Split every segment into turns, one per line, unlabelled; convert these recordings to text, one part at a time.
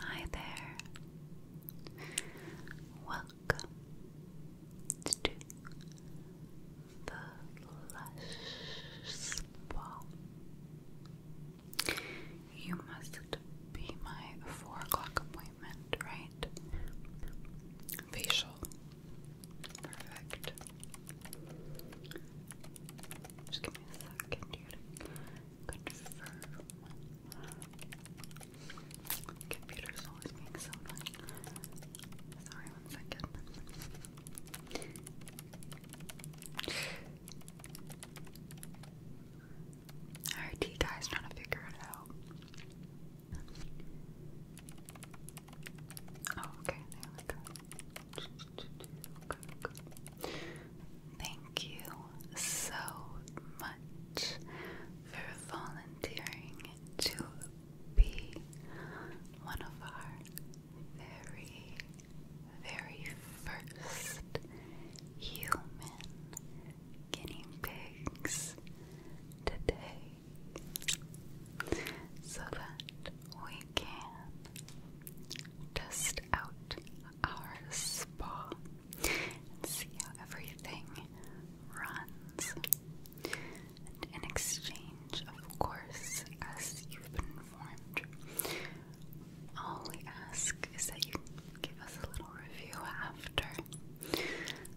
Hi there. Welcome to the Lush Spa. You must be my four o'clock appointment, right? Facial. Perfect. Just give me a second here confirm. Computer's always being so annoying. Sorry, one second. Our tea guy's trying to figure it out. Oh, okay, there we go. Thank you so much for volunteering to be one of our very, very first human guinea pigs today so that we can test out our spa see how everything runs. in exchange, of course, as you've been informed, all we ask is that you give us a little review after.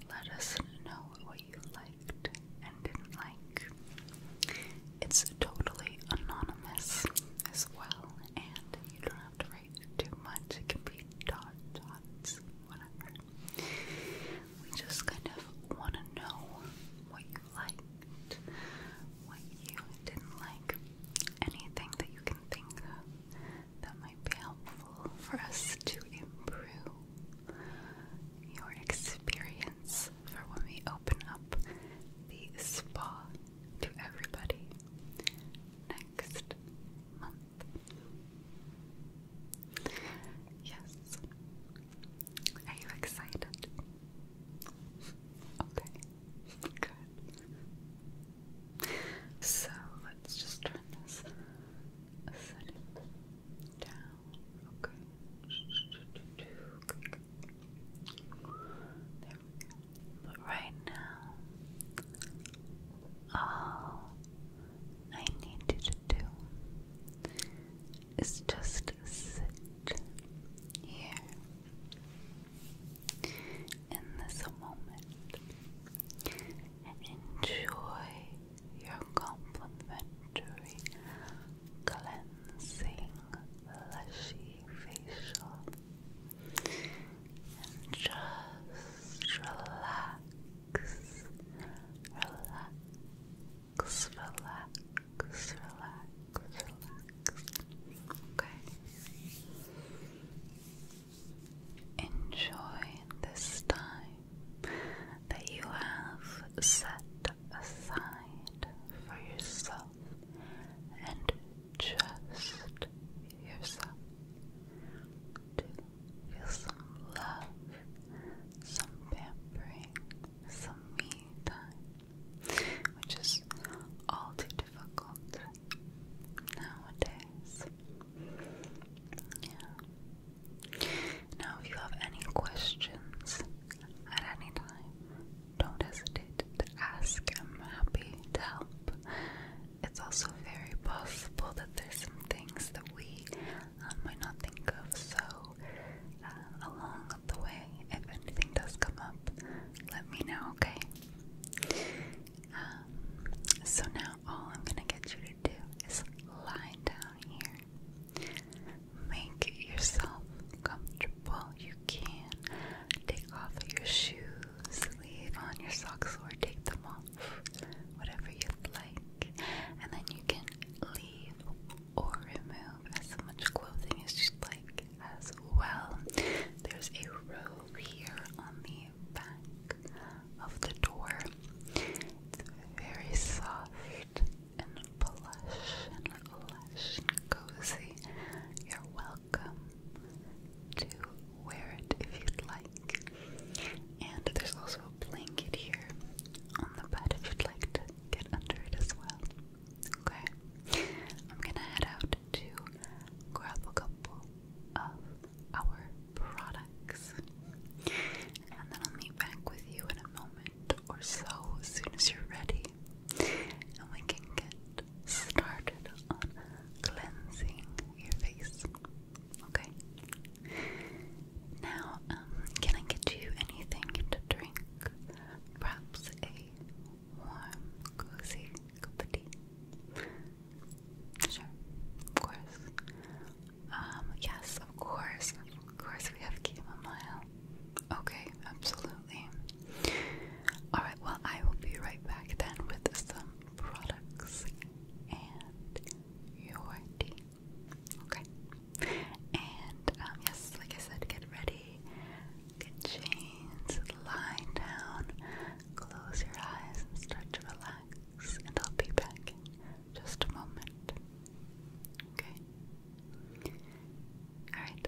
Let us know what you liked and didn't like. It's totally anonymous as well, and you don't have to write too much. It can be dot, dots, whatever. We just kind of want to know what you liked, what you didn't like, anything that you can think that might be helpful for us to improve your experience for when we open up the spa to everybody next month. Yes. Are you excited? Okay. Good. So let's just turn this setting down. Okay. But right now, all I need you to do is just sit here in this moment enjoy your complimentary cleansing lushy facial and just relax, relax, relax, relax, relax. Okay. Enjoy this time that you have set aside for yourself and just yourself to feel some love, some pampering, some me time, which is all too difficult nowadays. Yeah. Now, if you have any questions at any time, don't hesitate to ask. I'm happy to help. It's also very possible that there's some things that we um, might not think of, so uh, along the way, if anything does come up, let me know, okay? Um, so now all I'm gonna get you to do is lie down here. Make yourself comfortable. You can take off your shoes sleeve on your socks or take them off, whatever you'd like. And then you can leave or remove as much clothing as you'd like as well. There's a robe here on the back of the door. It's very soft and plush and lush and cozy. You're welcome welcome to wear it if you'd like. And there's also a blanket here on the bed if you'd like to get under it as well. Okay, I'm gonna head out to grab a couple of our products. And then I'll meet back with you in a moment or so as soon as you're ready. And we can get started on cleansing your face. Okay. Now, um, can I get you anything to drink? Perhaps a warm, cozy cup of tea. Sure, of course. Um, yes, of course, of course we have chamomile. Okay, absolutely. Alright, well, I will be right back then with some products and your tea. Okay? And, um, yes, like I said, get ready, get chains. lie down, close your eyes, and start to relax. And I'll be back just a moment. Okay? Alright.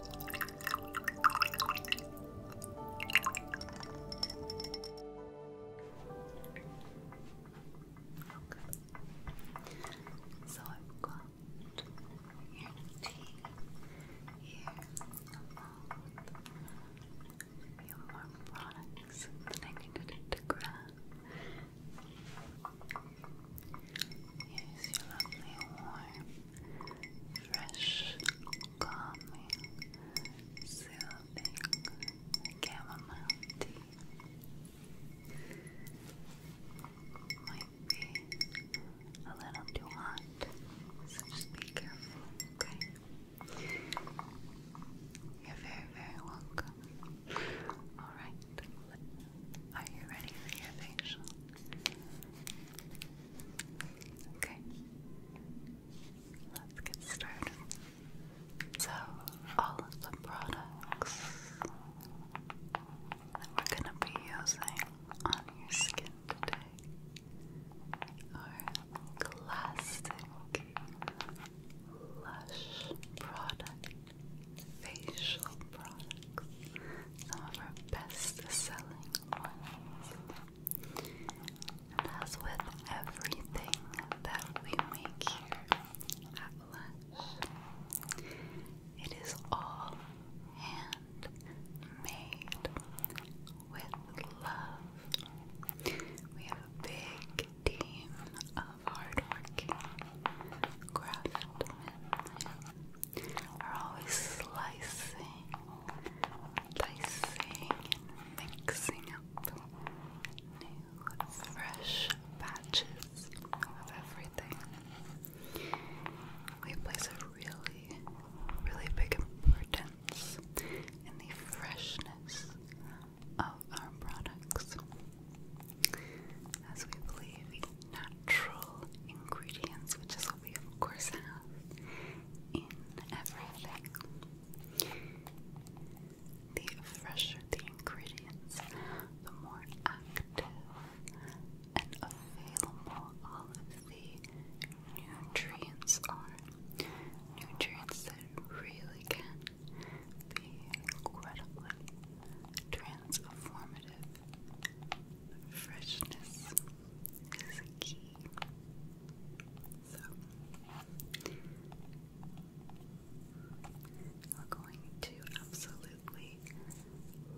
So I've got your tea, your mouth, your products that I needed to grab. Here's your lovely, warm, fresh, calming, soothing chamomile tea. Might be a little too hot, so just be careful, okay? You're very, very welcome. Alright, are you ready for your facial? Okay. Let's get started. So, all of the products that we're going to be using on your skin today are classic lush products facial products, some of our best selling ones. as with everything that we make here at Lush, it is all hand made with love. We have a big team of hardworking craftsmen we are always slicing, dicing, and mixing up new, fresh batches of everything. We place a really, really big importance in the freshness of our products, as we believe natural ingredients, which is what we of course have in everything. The fresher the ingredients, the more active and available all of the nutrients are. Nutrients that really can be incredibly transformative Freshness is a key. So you're going to absolutely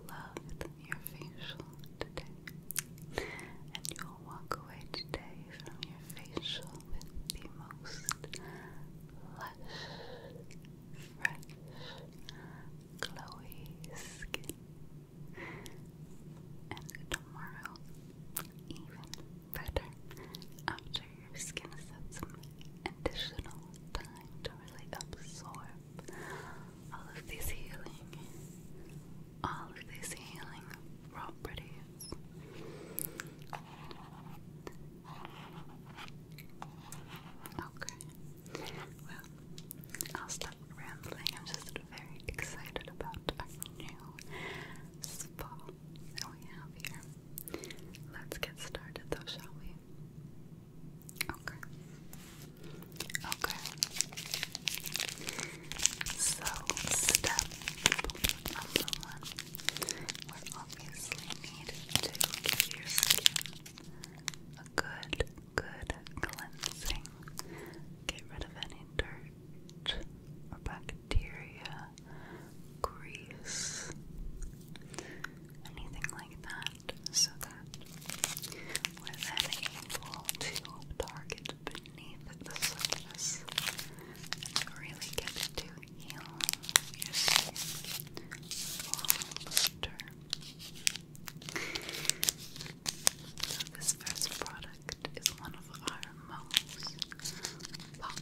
love your facial today. And you will walk away today from your facial with the most lush, fresh, Chloe skin. And tomorrow, even better, after your skin has had some additional time to really absorb all of these healing, all of these healing properties. Okay. Well, I'll stop rambling. I'm just very excited about our new spa that we have here. Let's get started though, shall we? Okay. Okay. So, step number one, we obviously need to give your skin good, good cleansing. Get rid of any dirt bacteria, grease, anything like that, so that we're then able to target beneath the surface and really get to heal your skin long term this first product is one of our most popular cleansing bars.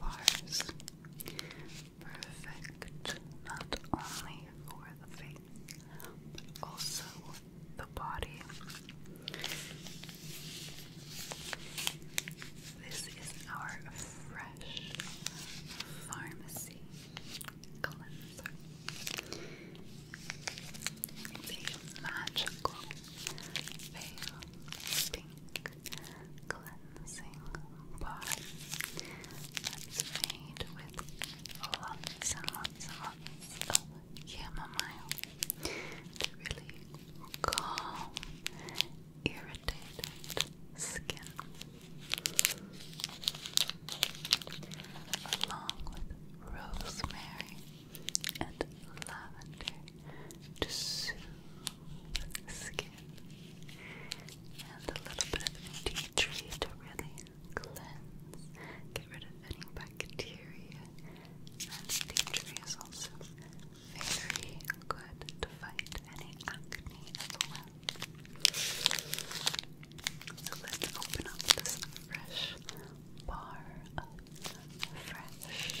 Perfect not only for the face, but also the body. This is our fresh pharmacy cleanser. It's magical pale pink cleansing bar that's made with lots and lots of chamomile to really calm irritated skin, along with rosemary and lavender to soothe skin, and a little bit of tea tree to really cleanse, get rid of any bacteria. And tea tree is also very good to fight any acne as well. So let's open up this fresh bar of fresh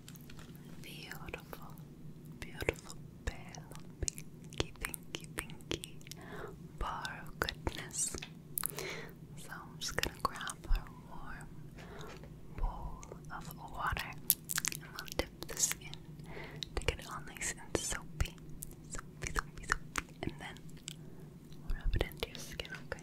Beautiful, beautiful, pale, pinky, pinky, pinky bar of goodness. So I'm just gonna grab a warm bowl of water and we'll dip this in to get it all nice and soapy. Soapy, soapy, soapy. And then rub it into your skin, okay?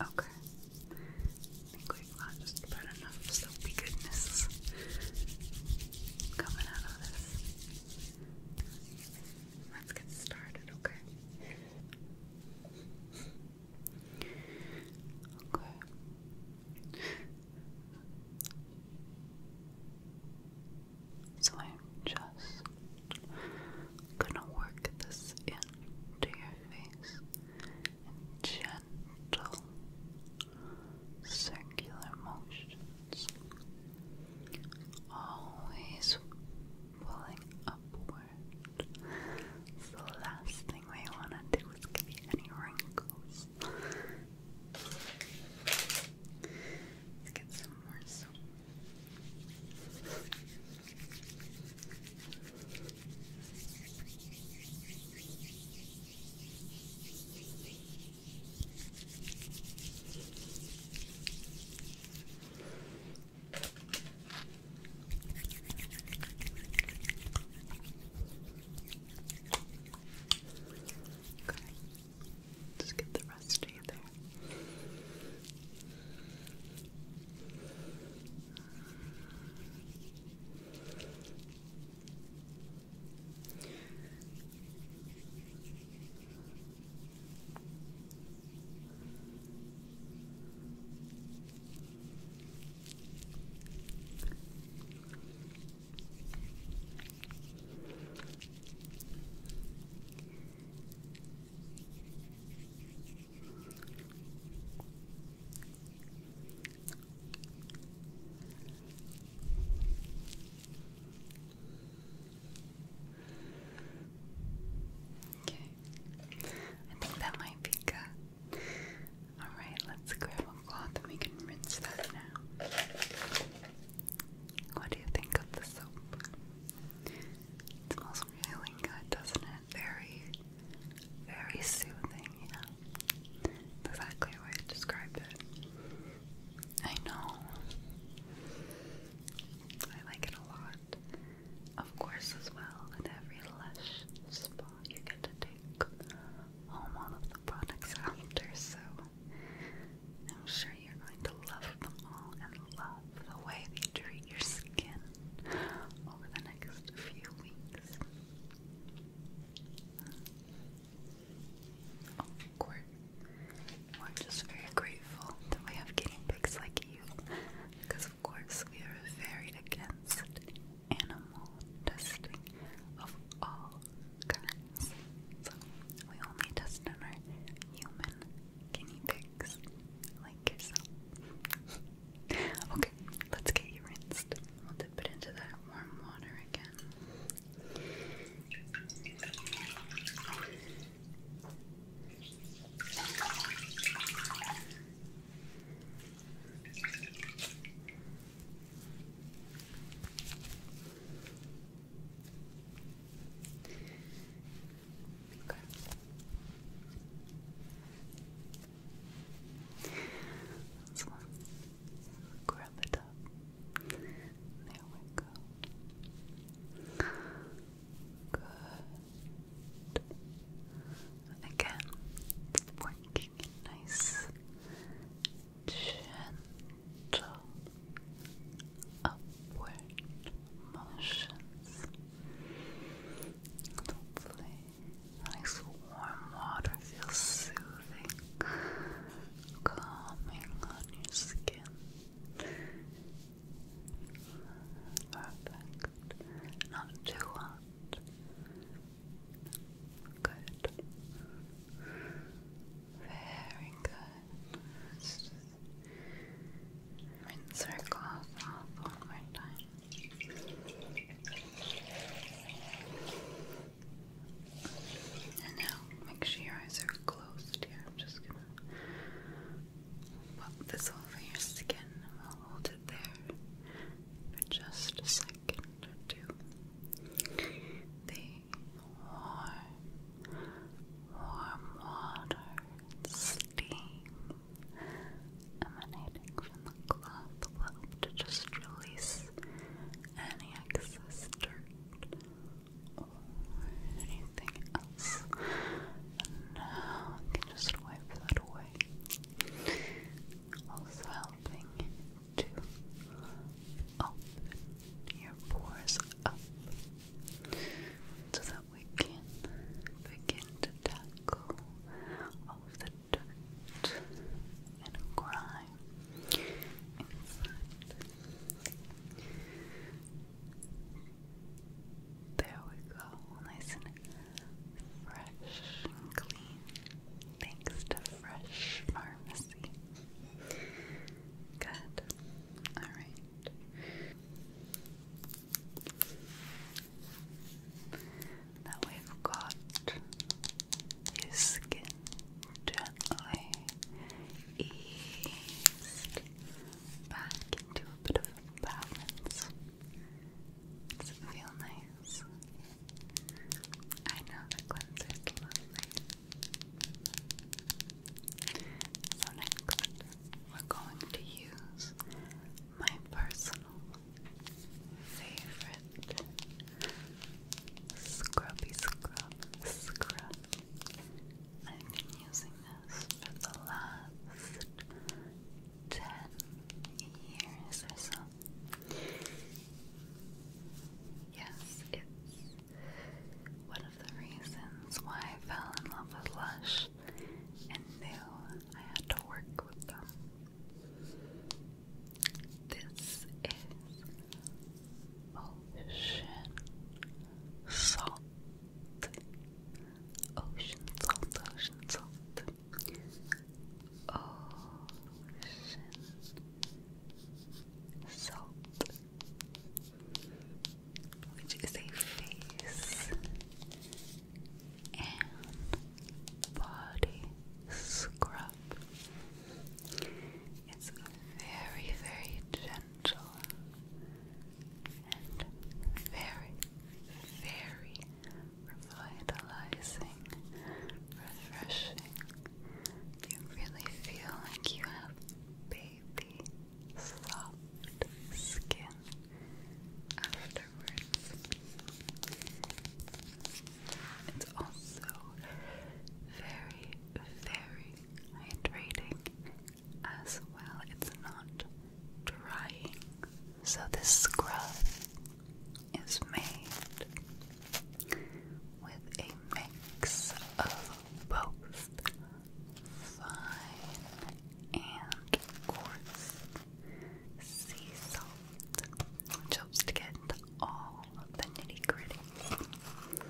Okay. I think we've got just about enough soapy goodness coming out of this. Let's get started, okay? Okay. So I'm just gonna work this into your face in gentle circular motions, always pulling upward. the last thing we want to do is give you any wrinkles. Let's get some more soap. Okay. Okay. Just get the rest of you there. Okay. I think that might be good. Alright, let's grab a cloth and we can rinse that now. What do you think of the soap? It smells really good, doesn't it? Very, very soothing, yeah. Exactly the way I described it. I know. I like it a lot. Of course, as well, in every lush spot you get to take home all of the products after, so I'm sure you're going to love them all and love the way they treat your skin over the next few weeks. Of course, we're just very grateful that we have guinea pigs like you, because of course we are very against animal testing of all kinds. we only test on our human guinea pigs, like yourself. okay, let's get you rinsed. We'll dip it into that warm water again. Okay. So, grab it up. There we go. Good. Again, working nice gentle upward motions. Hopefully, nice warm water feels soothing, calming on your skin. Perfect. Not too hot. Good. Very good. rinse her cough off one more time. And now make sure your eyes are closed here. I'm just gonna pop this over your skin and will hold it there for just a second to the warm, warm water steam emanating from the cloth will just release any excess dirt or anything else. And you just wipe that away. Also helping to open your pores up so that we can begin to tackle all of the dirt and grime There we go, nice and fresh clean thanks to Fresh Pharmacy. Good. Alright. Now we've got your skin gently eased back into a bit of balance. Does it feel nice? I know the cleanser is So next, we're going to use my personal favorite scrubby scrub scrub. I've been using this for the last ten years or so. Yes, it's one of the reasons why I fell in love with Lush and knew I had to work with them. This is ocean salt. Ocean salt, ocean salt. Ocean Salt, which is a face and body scrub. It's very, very gentle and very, very revitalizing, refreshing. You really feel like you have baby soft skin afterwards. It's also very, very hydrating as well. It's not drying so this scrub is made with a mix of both fine and coarse sea salt, which to get all the nitty gritty.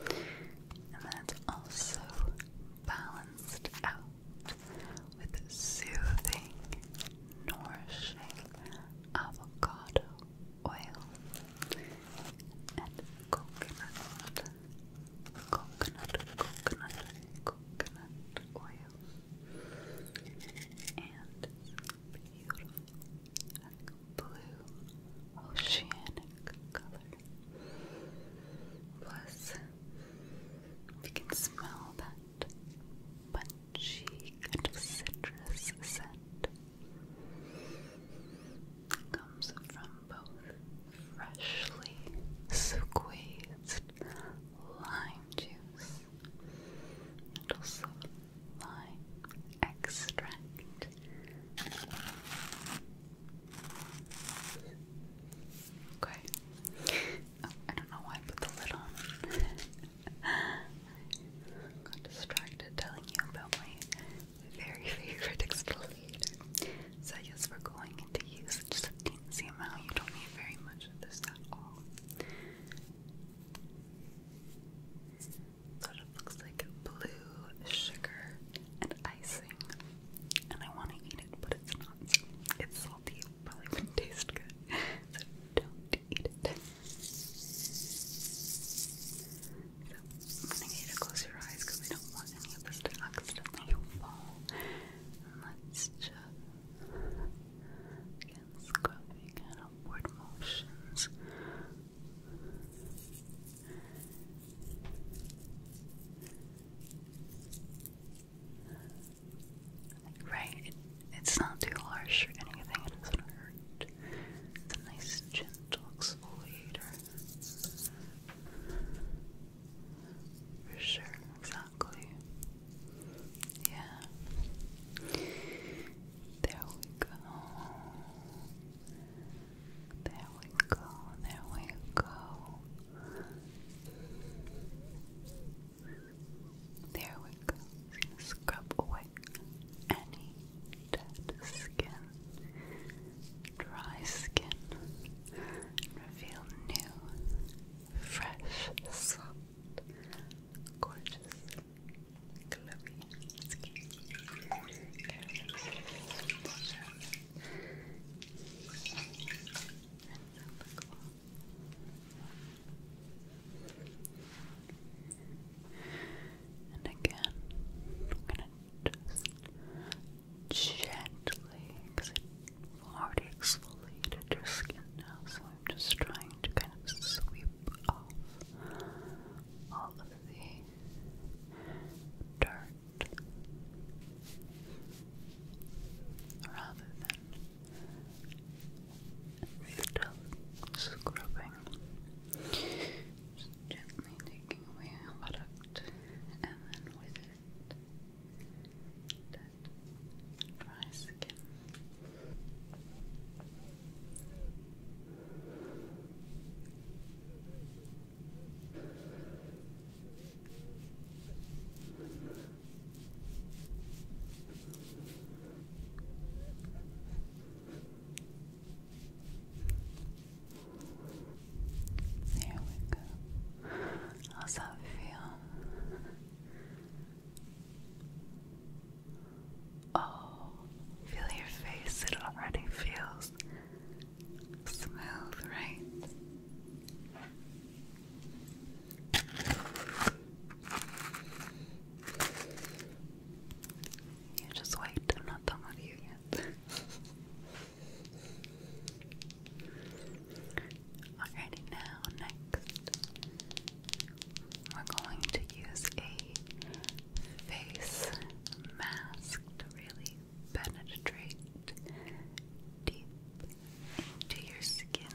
And then also balanced out with soothing nourishing avocado oil and coconut, coconut, coconut, coconut oil, and beautiful blue oceanic color. Plus, you can smell that punchy kind of citrus scent comes from both freshly squeezed lime juice and also lime extract. Okay. Oh, I don't know why I put the lid on. Got distracted telling you about my very favorite exfoliator. So yes, we're going to use just a teensy amount. You don't need very much of this at all. Sort of looks like blue sugar and icing. And I want to eat it, but it's not. It's salty. probably wouldn't taste good. So don't eat it. I'm gonna get to close your eyes because we don't want any of this to accidentally fall. And let's just again scrubbing and upward motions. Right? it's not too harsh or anything, it doesn't hurt. It's a nice, gentle exfoliator. For sure, exactly. Yeah. There we go. There we go. There we go. There we go. Scrub away any dead skin, dry skin, reveal new, fresh, soft, gorgeous, glowy skin. And again, I'm gonna just gently, because already exfoliated your skin now, so I'm just trying to kind of sweep off all of the dirt rather than Still scrubbing. gently taking away product and then with it dry skin. There we go. How's that feel? Oh, feel your face, it already feels smooth, right? just wait, I'm not done with you yet. Alrighty, now next, we're going to use a face mask to really penetrate deep into your skin.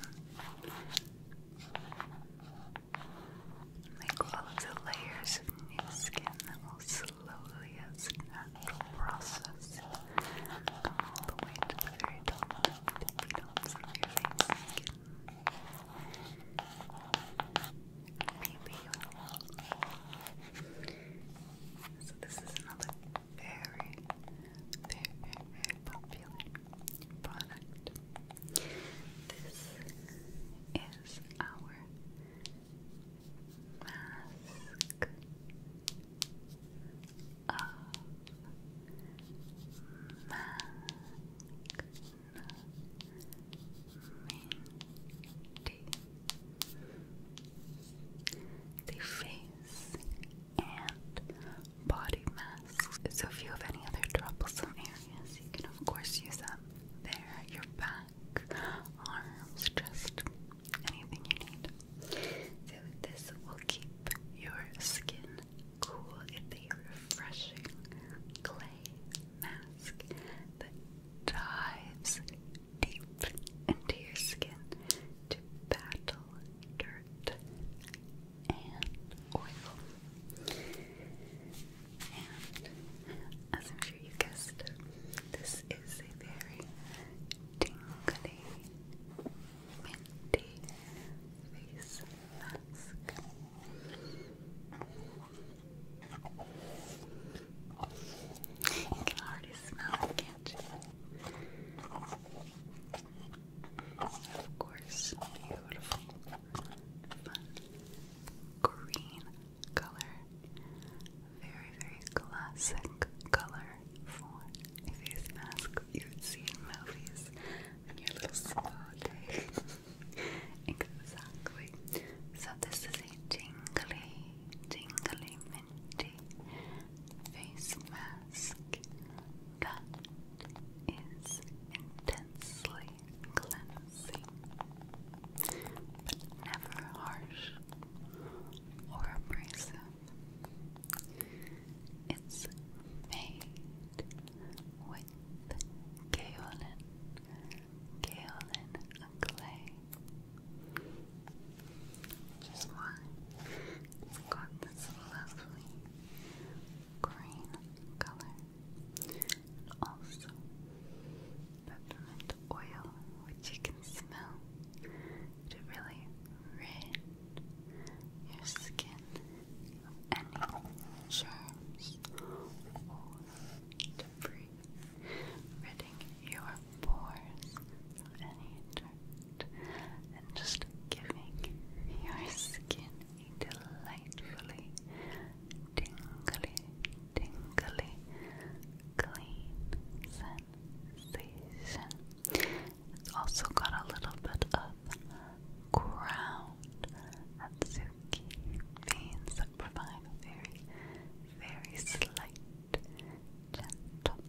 Make all of the layers of new skin that will slowly, as a process, all the way to the very top of the dots of so this is another very, very, very popular product. This is our mask of Magna Minty. The and body masks. So if you have any other troublesome areas, you can of course use that. there, your back, arms, chest, anything you need. So this will keep your skin cool. It's refreshing clay mask that dives deep into your skin to battle. Derm dirt and oil. And as I'm sure you guessed, this is a very tingly, minty face mask. You can already smell it, can't you? Of course, beautiful, fun, green color. Very, very classic color for a face mask you would see in movies and your little spa day. exactly. So this is a tingly, tingly minty face mask that is intensely cleansing, but never harsh or abrasive. It's made with kaolin, kaolin clay. Just one. got this lovely green color. And also peppermint oil, which you can smell. To really rid your skin of any germs or debris, ridding your pores of any dirt, and just giving your skin a delightfully tingly, tingly, clean sensation. It's also got a little bit of ground atsuki beans that provide a very, very slight, gentle,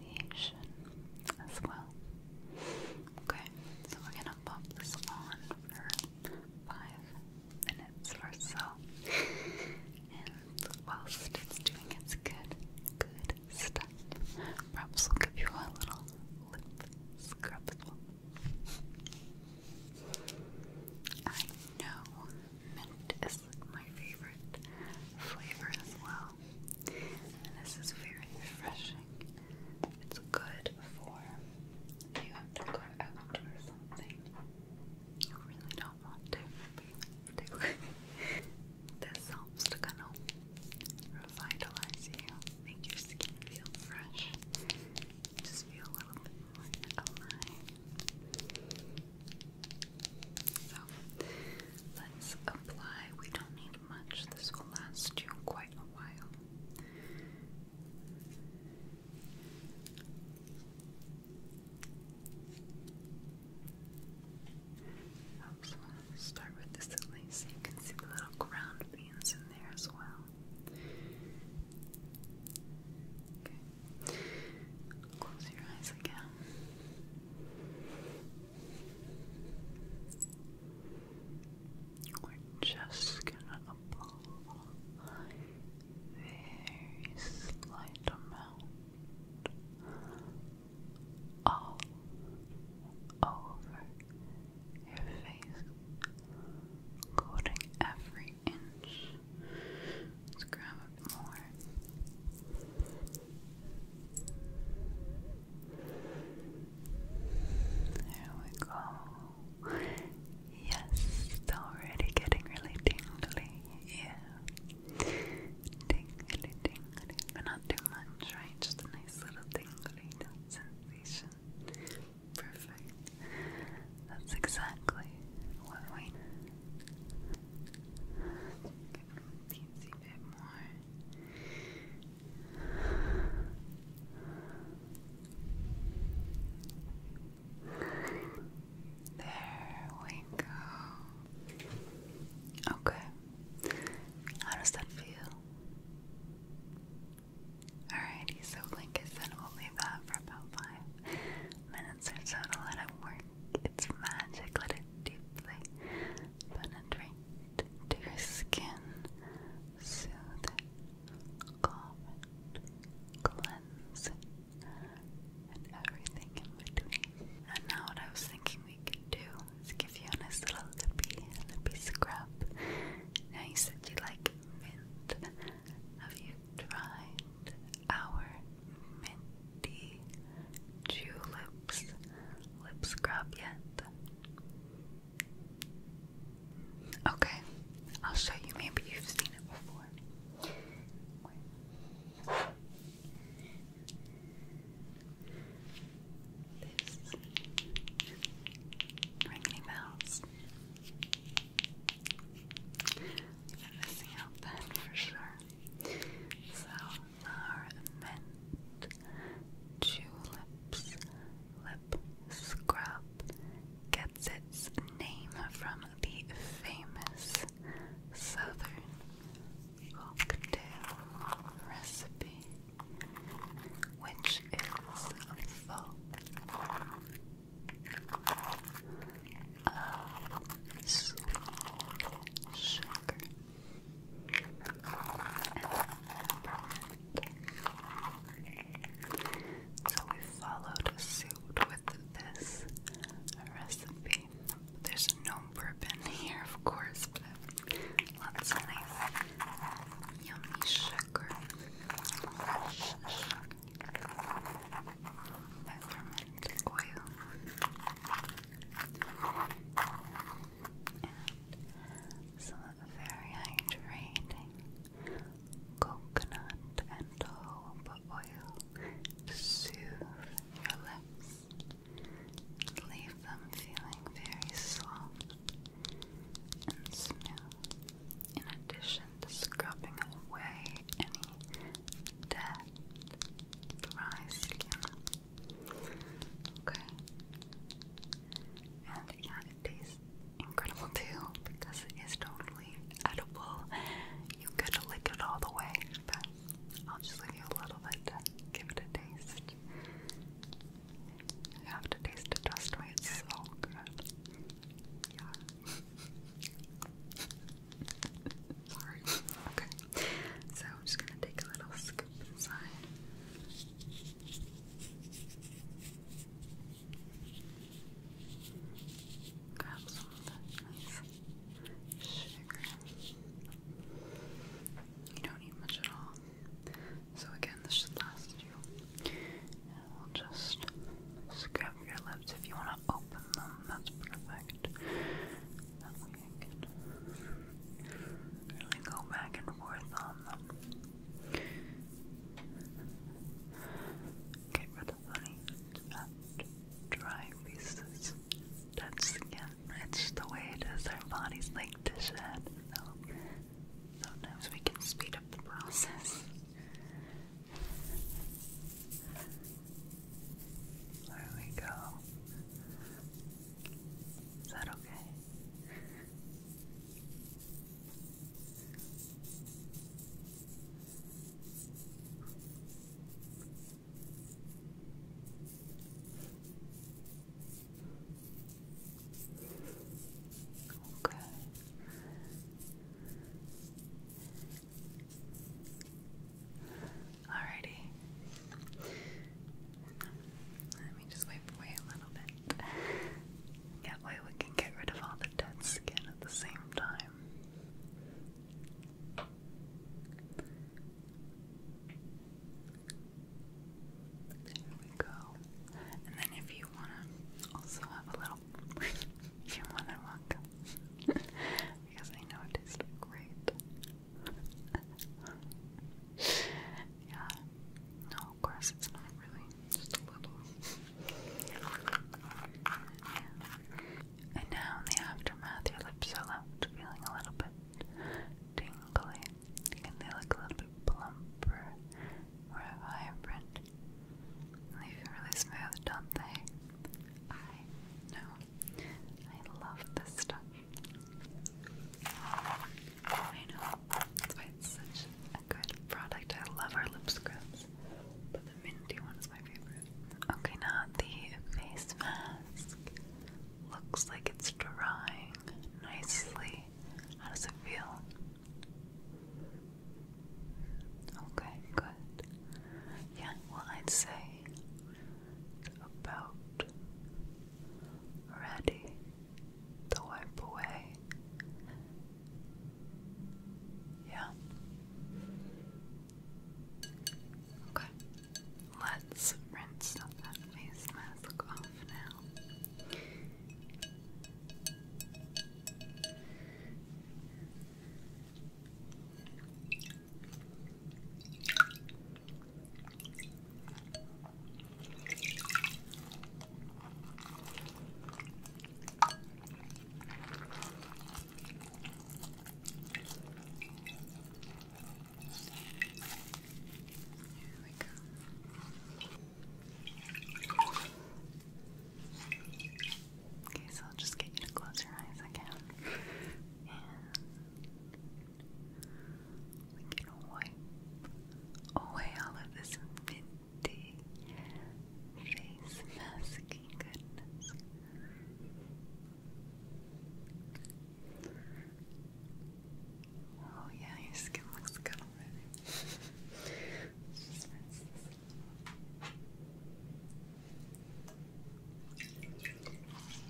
exfoliation as well. Okay, so we're gonna pop this on for five minutes or so. And whilst it's doing its good, good stuff, perhaps we'll give you a little lip scrub I know mint is my favorite flavor as well this is very refreshing. It's good for you have to go out or something. You really don't want to. But you have to. this helps to kind of revitalize you, make your skin feel fresh, just feel a little bit more alive. So let's apply. We don't need much. This will last you quite a while. So I'll start with this at least. You can see the little ground beans in there as well. Okay. Close your eyes again. We're just gonna apply a slight amount all over your face, coating every inch. Let's grab more. There we go. Yes, already getting really tingly. Yeah. Tingly, tingly. But not too much, right? Just a nice little tingly sensation. Perfect. That's exactly what we need. a teensy bit more. There we go. Okay. How does that feel? Alrighty, so like I said, we'll leave that for about five minutes or so let it work. It's magic, let it deeply penetrate to your skin, soothe it, calm it, cleanse and everything in between. And now, what I was thinking we could do is give you a nice little lippy, lippy scrub. Now, you said you like mint. Have you tried our minty juleps lip scrub yet? Okay, I'll show you. Maybe you've seen it before. ringing bells. You've been missing out then for sure. So are meant tulips lip scrub gets its name from the famous southern cocktail recipe which is full of sugar so we followed suit with this recipe. There's no bourbon here, of course, but lots of nice, yummy sugar. Fresh Peppermint oil and some very hydrating coconut and jojoba oil to soothe your lips and leave them feeling very soft and smooth. In addition to scrubbing away any dead, dry skin Okay. And yeah, it tastes incredible too because it is totally edible. You could lick it all the way, but I'll just leave you a little bit give it a taste. You have to taste it, trust me, it's so good. Yeah. Sorry. Okay. So I'm just gonna take a little scoop inside. Grab some of that sugar. You don't need much at all. So again, this should last you. And we'll just scrub your lips if you want to open them. That's perfect. That I can really go back and forth on them. Get rid of any dry pieces, dead skin. It's the way it is. Our bodies like to shed, sometimes we can speed up the process. There we go. Is that okay? Okay. Alrighty. Let me just wipe away a little bit. That way we can get rid of all the dead skin at the same time. There we go. And then if you wanna also have a little if you wanna welcome because I know it tastes great. yeah. No, of course it's not really. Just a little. And now in the aftermath, your lips are left feeling a little bit tingly. And they look a little bit plumper, more vibrant. They feel really smooth, don't they? I know. I love this stuff. I know. it's such a good product. I love our lip scrubs. But the minty one is my favorite. Okay, now the face mask. Looks like it's drying nicely. How does it feel? Okay, good. Yeah, well, I'd say about ready to wipe away. Yeah. Okay. Let's rinse that face mask off now. There we go. Okay, so I'll just get you to close your eyes again. And we can wipe away all of this minty face masking goodness. Oh yeah, your skin looks good already.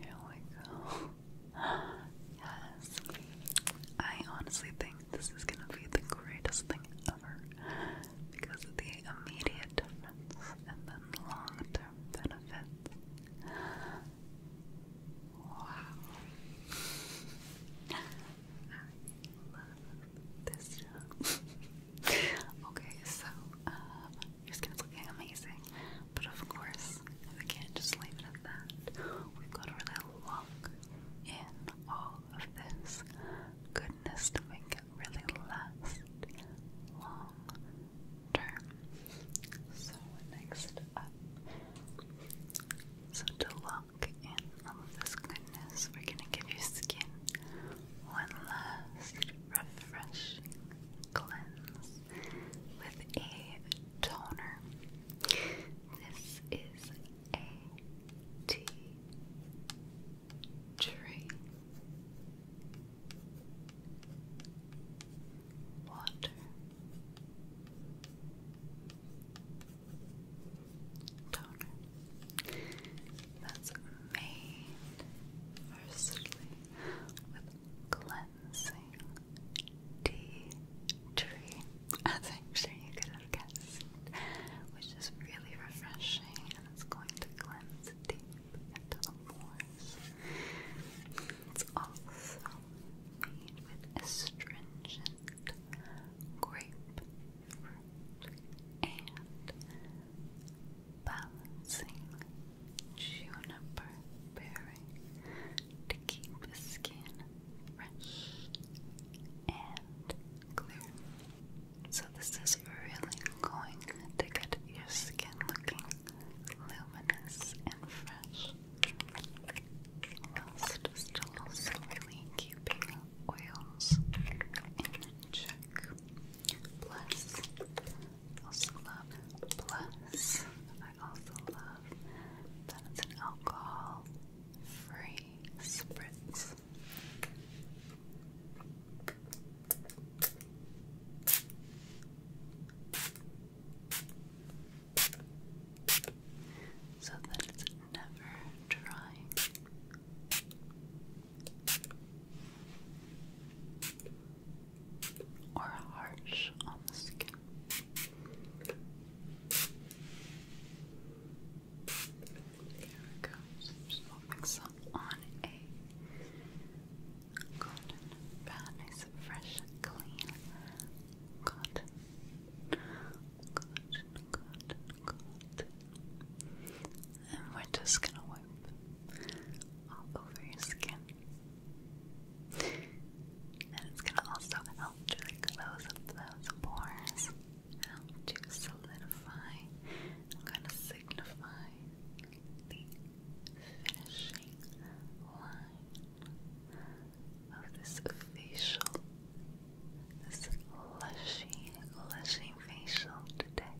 Here we go. yes. I honestly think this is gonna be the greatest thing ever because of the immediate difference and then the long term benefits. Wow. I love this okay, so um your skin's looking amazing. But of course, we can't just leave it at that. We've got to really lock in all of this goodness to make it really last long term. So, next up, so to lock in all of this goodness, we're going to give your skin one last refreshing cleanse with a toner. This is a tea tree water toner that's made for with cleansing tea tree. I'm sure you could have guessed, which is really refreshing and it's going to cleanse deep into the pores. It's also made with astringent grapefruit and balancing juniper berry to keep the skin fresh and clear. So this is really going to get your skin looking luminous and fresh. Whilst still also really keeping oils in check. Plus, also love Plus. I also love that it's an alcohol free spritz. So that it's never drying or harsh on the skin. There we go. just rubbing some on a cotton pad, nice and fresh and clean cotton. Cotton, cotton, cotton and we're just gonna wipe all over your skin. And it's gonna also help to close up those pores, help to solidify, kind of signify the finishing line of this facial, this lushy, lushy facial today.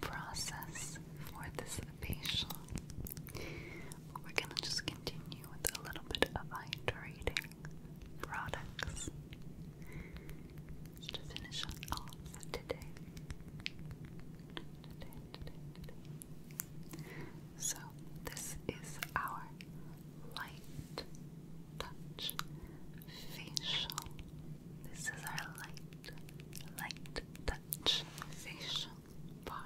process for this facial. we're gonna just continue with a little bit of hydrating products to finish off today. So this is our light touch facial. This is our light, light touch Dutch facial bar.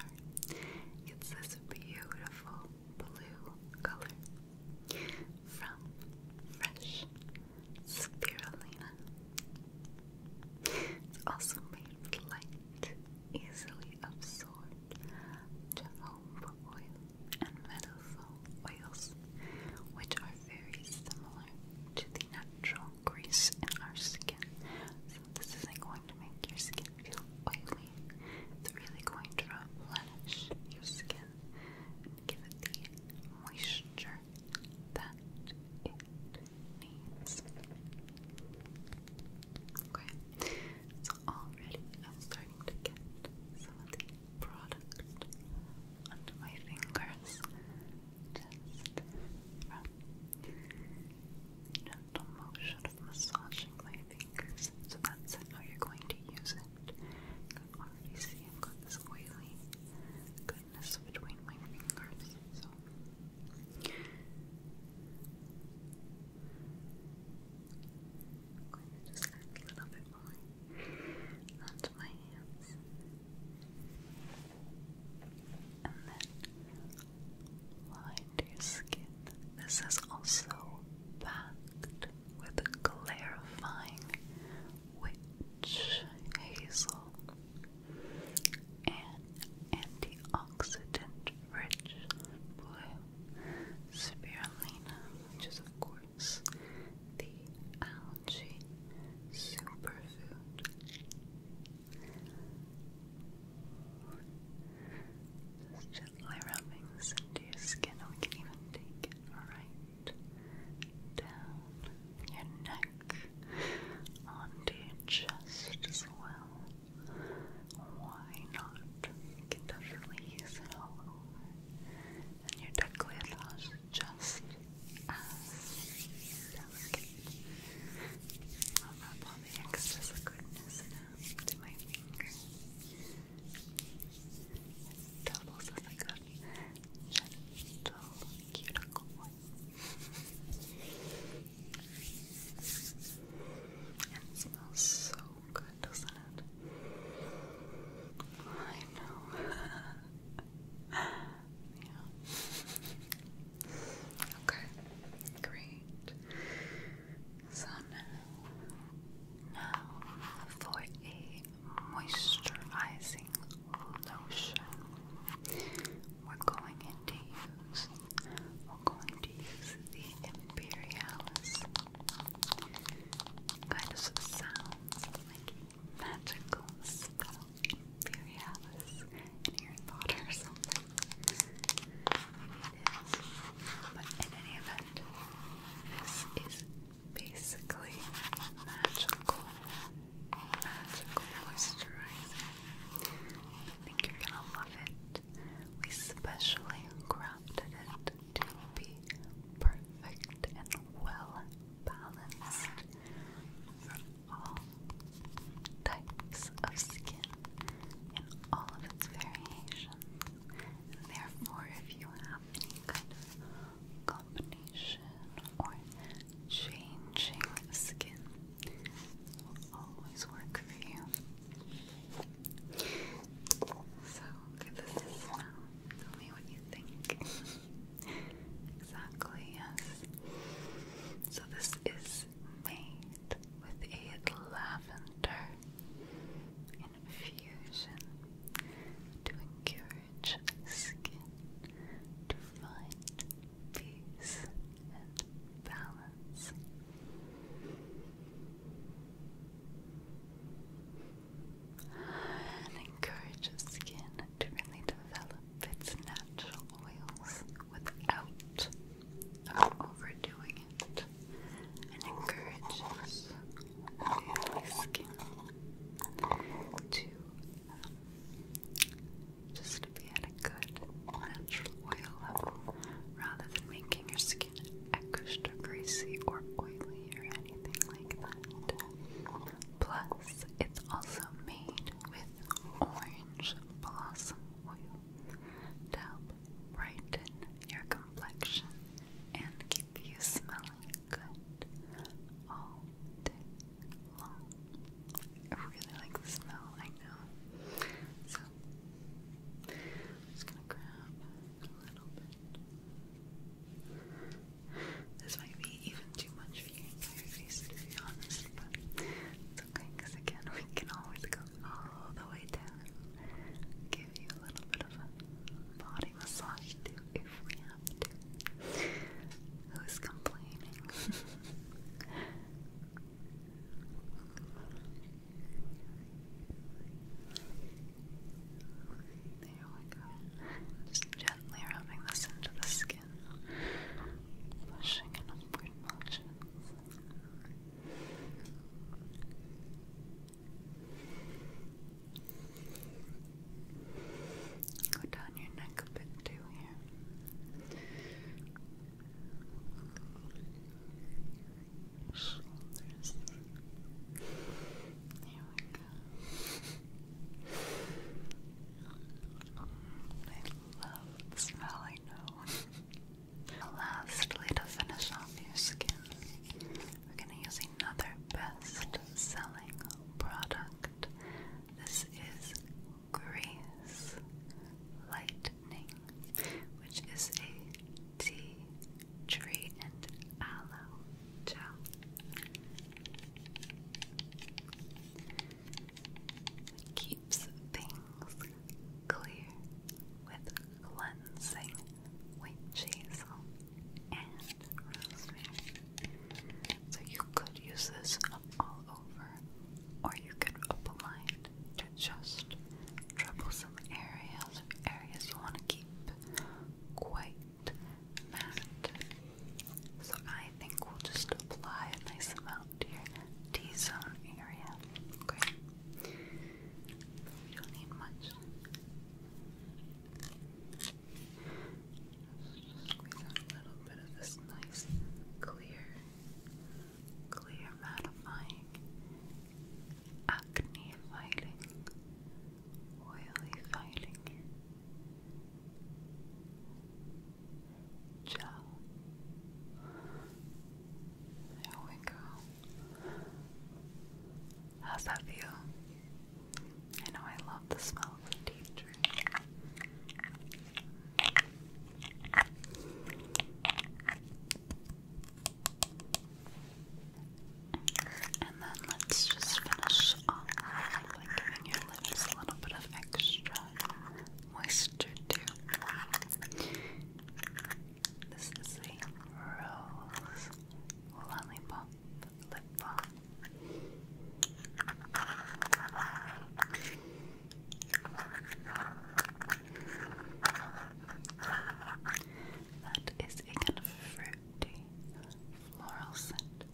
It's this beautiful blue color from fresh spirulina. It's also made of light, easily absorbed jojoba oil and methyl oils, which are very similar to the natural grease in our skin. So this isn't going to make your skin feel oily. It's really going to replenish your skin give it the moisture that it needs. Okay, so already I'm starting to get some of the product onto my fingers just from Gentle motion of massaging my fingers. So that's it. you're going to use it. You see I've got this oily goodness between my fingers. So I'm going to just add a little bit more onto my hands and then lined your skin. This is also packed with clarifying witch hazel and antioxidant-rich blue spirulina, which is of course the algae superfood. Just gently this into your skin, and we can even take it right down your neck onto your chest as well. Why not? You can definitely use it all over. And your decolletage just um, that I'll rub all the excess liquidness now my finger. It doubles as gentle cuticle one. And smells so good, doesn't it? I know. yeah. Okay, great. So now, for a moisturizing lotion, we're going to use we're going to use the Imperialis. Kind of sounds magical spell Furialis in Harry Potter or But in any event, this is basically magical, magical moisturizer. I think you're gonna love it. We specially crafted it to be perfect and well balanced all types of skin in all of its variations. therefore, if you have any kind of combination or changing skin, will always work for you. So, um, Tell me what you think. Exactly, yes. So this is made with a lavender infusion to encourage skin to find peace and balance. And encourages skin to really develop its natural oils without overdoing it and encourages oily skin to um, just be at a good natural oil level rather than making your skin extra greasy or oily or anything like that. Plus, it's also made with orange blossom oil to help brighten your complexion and keep you smelling good all day long. I really like the smell, I know. So, I'm just gonna grab a little bit. This might be even too much for your entire face, to be honest. But okay, because again, we can always go all the way down. Give you a little bit of a body massage too, if we have to. Who's complaining? There we go. Just gently rubbing this into the skin skin, pushing in upward motions. Go down your neck a bit too here. Shoulders. Here we go. I love the smell, Lastly, to finish off your skin, we're going to use another best selling product. This is Grease Lightning, which is a tea tree and aloe gel keeps things clear with cleansing witch hazel and rosemary. So you could use this all over, or you could apply it to just troublesome areas, areas you want to keep quite matte so I think we'll just apply a nice amount to your T-zone area. Okay. We don't need much. Just squeeze a little bit of this nice clear, clear mattifying, acne fighting, oily fighting. Gel. There we go. How's that feel? I know I love the smell of the tea tree. And then let's just finish off by giving your lips a little bit of extra moisture This is a rose lip balm. That is a kind of fruity floral scent.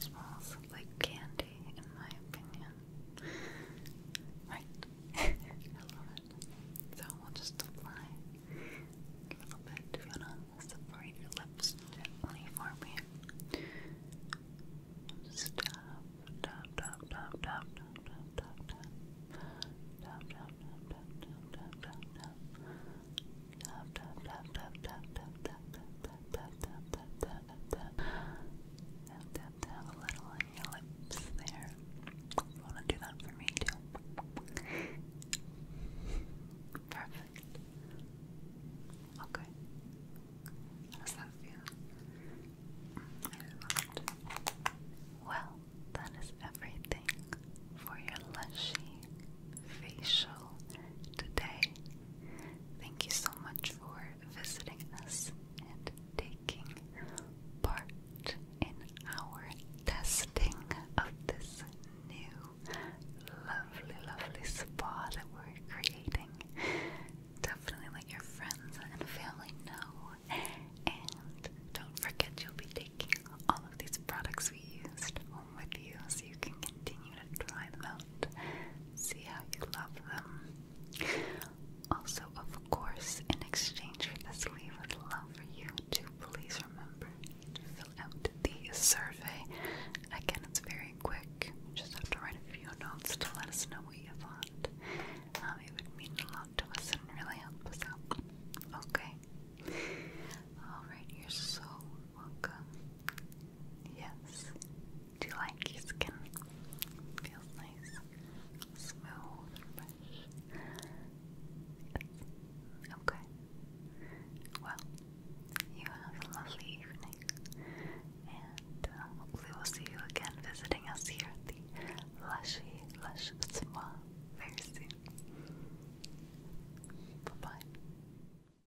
Smells like candy pretty, in my opinion. Right? I love it. So we'll just apply a little bit. If you wanna separate your lips gently for me. Just tap, tap, tap, tap, tap, tap, tap, tap, tap, tap, tap, tap, tap, tap, tap, Tap, a little on your lips there. You want to do that for me too? Perfect. Okay. How does that feel? Well, that is everything for your lushy facial today. Thank you so much for visiting us and taking part in our testing of this new lovely, lovely spa that we're creating. Definitely let your friends and family know. And don't forget, you'll be taking all of these products we used home with you so you can continue to try them see how you love them. Also, of course, in exchange for this, we would love for you to please remember to fill out the survey. Again, it's very quick. You just have to write a few notes to let us know what you thought. Um, it would mean a lot to us and really help us out. Okay. Alright, you're so Welcome. Yes. Do you like your skin? Feels nice, smooth, Okay. Well, you have a lovely evening, and uh, hopefully we'll see you again visiting us here at the Lushy Lush Spa very soon. Bye bye.